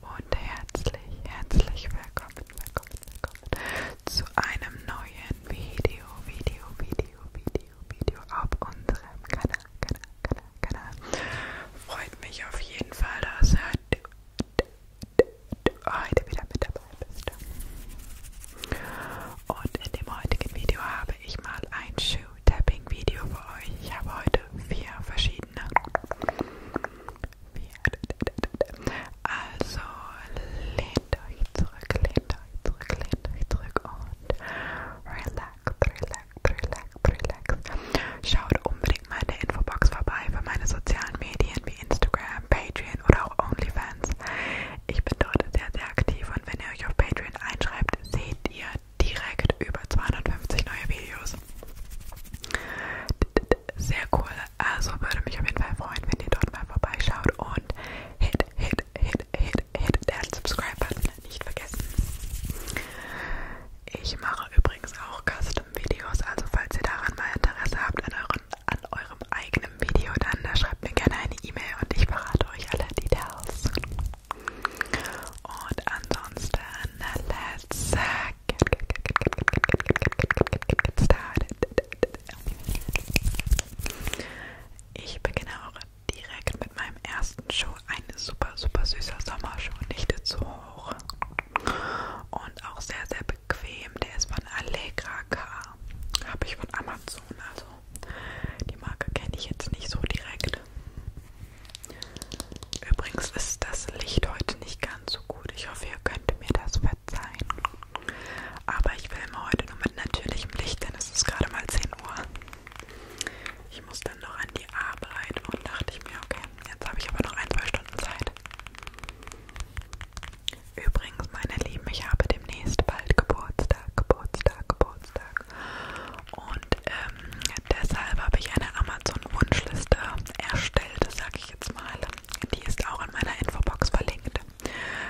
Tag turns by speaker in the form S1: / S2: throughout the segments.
S1: und herzlich, herzlich willkommen, willkommen, willkommen zu einem neuen Video, Video, Video, Video, Video auf unserem Kanal, Kanal, Kanal, Kanal. Freut mich auf jeden Fall, dass ihr heute wieder mit dabei bist. Und in dem heutigen Video habe ich mal ein Shoe-Tapping-Video für euch. Ich habe heute vier verschiedene also lehnt euch zurück, lehnt euch zurück, lehnt euch zurück und relax, relax, relax, relax. Schaut unbedingt mal in der Infobox vorbei für meine sozialen Medien wie Instagram, Patreon oder auch OnlyFans. Ich bin dort sehr, sehr aktiv und wenn ihr euch auf Patreon einschreibt, seht ihr direkt über 250 neue Videos. Sehr cool. Also würde mich auf jeden Fall freuen, wenn ihr dort mal vorbeischaut und hit, hit, hit, hit, hit den Subscribe-Button nicht vergessen. Ich mache übrigens auch Custom-Videos, also falls ihr daran mal Interesse habt an, euren, an eurem eigenen Video, dann da schreibt mir gerne eine E-Mail und ich verrate euch alle Details. Und ansonsten, let's get, get, get, get, get, get, get, get, get, get, get started. Ich beginne auch direkt mit meinem ersten Schuh. Ein super, super süßer Sommerschuh, nicht zu hoch. Und auch sehr, sehr bequem. Der ist von Allegra K. Habe ich von Amazon, also die Marke kenne ich jetzt nicht so direkt. Übrigens ist das Licht heute nicht ganz so gut. Ich hoffe, ihr könnt mir das verzeihen. Aber ich filme heute nur mit natürlichem Licht, denn es ist gerade mal 10 Uhr. Ich muss dann noch an die Arbeit und dachte ich mir, okay, jetzt habe ich aber noch ein, zwei Stunden Zeit. Übrigens, meine Lieben, ich habe demnächst bald Geburtstag, Geburtstag, Geburtstag. Und ähm, deshalb habe ich eine Amazon-Wunschliste erstellt, sage ich jetzt mal. Die ist auch in meiner Infobox verlinkt.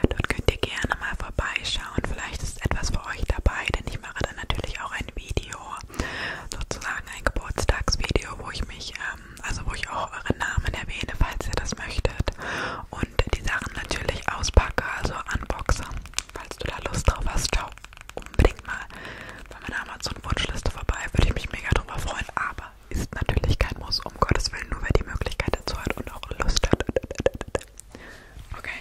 S1: Dort könnt ihr gerne mal vorbeischauen. Vielleicht ist etwas für euch dabei, denn ich mache dann natürlich auch ein Video, sozusagen ein Geburtstagsvideo, wo ich mich, ähm, also wo ich auch eure Namen erwähne, falls ihr das möchtet. Und die Sachen natürlich auspacke, also unboxe, falls du da Lust drauf hast. Ciao unbedingt mal bei meiner Amazon-Wunschliste vorbei. Würde ich mich mega drüber freuen, aber ist natürlich kein Muss, um Gottes Willen, nur wer die Möglichkeit dazu hat und auch Lust hat. Okay.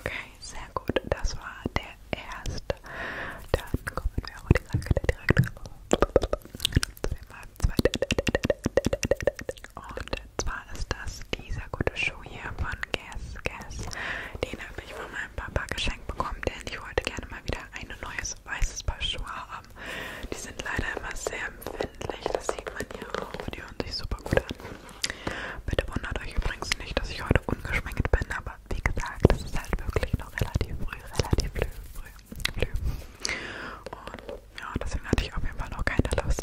S1: Okay, sehr gut. Das war der erste. Dann kommen wir auch die Sache direkt zu dem zweiten. Und zwar ist das dieser gute Schuh hier von Guess Guess. Den habe ich von meinem Papa geschenkt bekommen, denn ich wollte gerne mal wieder ein neues weißes Paar Schuhe haben. Die sind leider immer sehr empfindlich, das sieht man hier auch. Die hören sich super gut an. Bitte wundert euch übrigens nicht, dass ich heute ungeschminkt bin, aber wie gesagt, es ist halt wirklich noch relativ früh, relativ früh, früh, früh. Und ja, deswegen hatte ich auf jeden Fall noch keine Lust.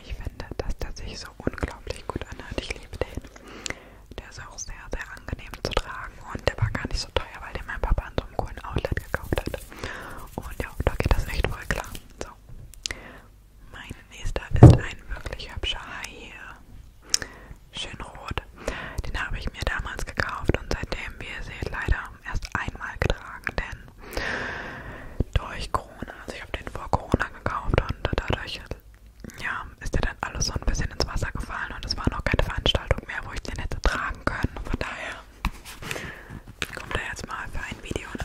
S1: Ich finde, dass der sich so unglaublich gut anhört. Ich liebe den. Der ist auch sehr, sehr angenehm zu tragen und der war gar nicht so teuer, weil den mein Papa an so einem coolen Outlet gekauft hat. Und ja, da geht das echt voll klar. So. Mein nächster ist ein wirklich hübscher Hai. Schön rot. Den habe ich mir damals gekauft und seitdem, wie ihr seht, leider erst einmal getragen, denn durch Corona, also ich habe den vor Corona gekauft und dadurch ja, ist ja dann alles so ein bisschen ins Wasser gefallen und es war noch keine Veranstaltung mehr, wo ich den hätte tragen können. Von daher kommt er jetzt mal für ein Video in Einsatz.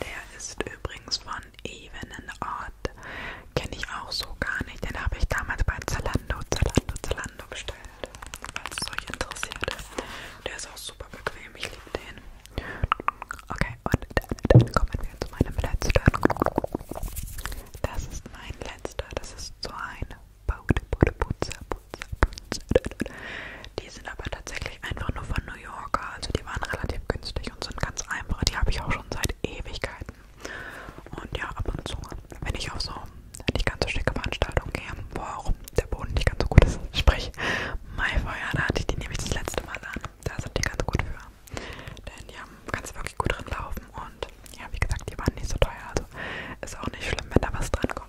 S1: Der ist übrigens von Even and I. Salat kenne ich auch so gar nicht. Den habe ich damals bei Zalando, Zalando, Zalando bestellt, falls es euch interessiert. Der ist auch super bequem, ich liebe den. Okay, und dann kommen wir zu meinem letzten. Das ist mein letzter, das ist so ein Bude, Bude, Putze, Putze, Putze. Die sind aber tatsächlich einfach nur von New Yorker, also die waren relativ günstig und sind ganz einfach. Die habe ich auch schon schon seit Ewigkeiten. Und ja, ab und zu, wenn ich auf so nicht ganz so schicke Veranstaltungen gehe, wo auch der Boden nicht ganz so gut ist, sprich Maifeuer, da hatte ich die nämlich das letzte Mal an. Da sind die ganz gut für. Denn ja, kannst wirklich gut drin laufen und ja, wie gesagt, die waren nicht so teuer, also ist auch nicht schlimm, wenn da was dran kommt.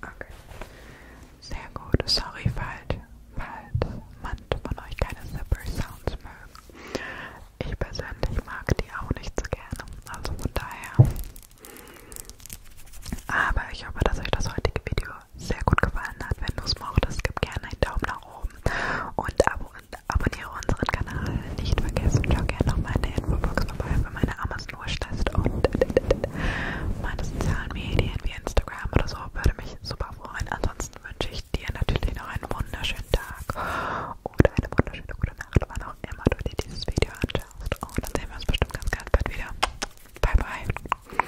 S1: Okay. Sehr gut. Sorry, falls, falls manche von euch keine Zipper Sounds mögen. Ich persönlich mag die auch nicht so gerne. Also von daher. Aber ich hoffe, dass euch das heutige Video sehr gut gefallen hat. Wenn du es mochtest, gib gerne einen Daumen nach oben und abonniere Abonniere unseren Kanal. Nicht vergessen, schau gerne noch mal in der Infobox vorbei für meine Amazon-Wunschliste und meine sozialen Medien wie Instagram oder so. Würde mich super freuen. Ansonsten wünsche ich dir natürlich noch einen wunderschönen Tag oder eine wunderschöne gute Nacht, wann auch immer du dir dieses Video anschaust. Und dann sehen wir uns bestimmt ganz, ganz bald wieder. Bye, bye.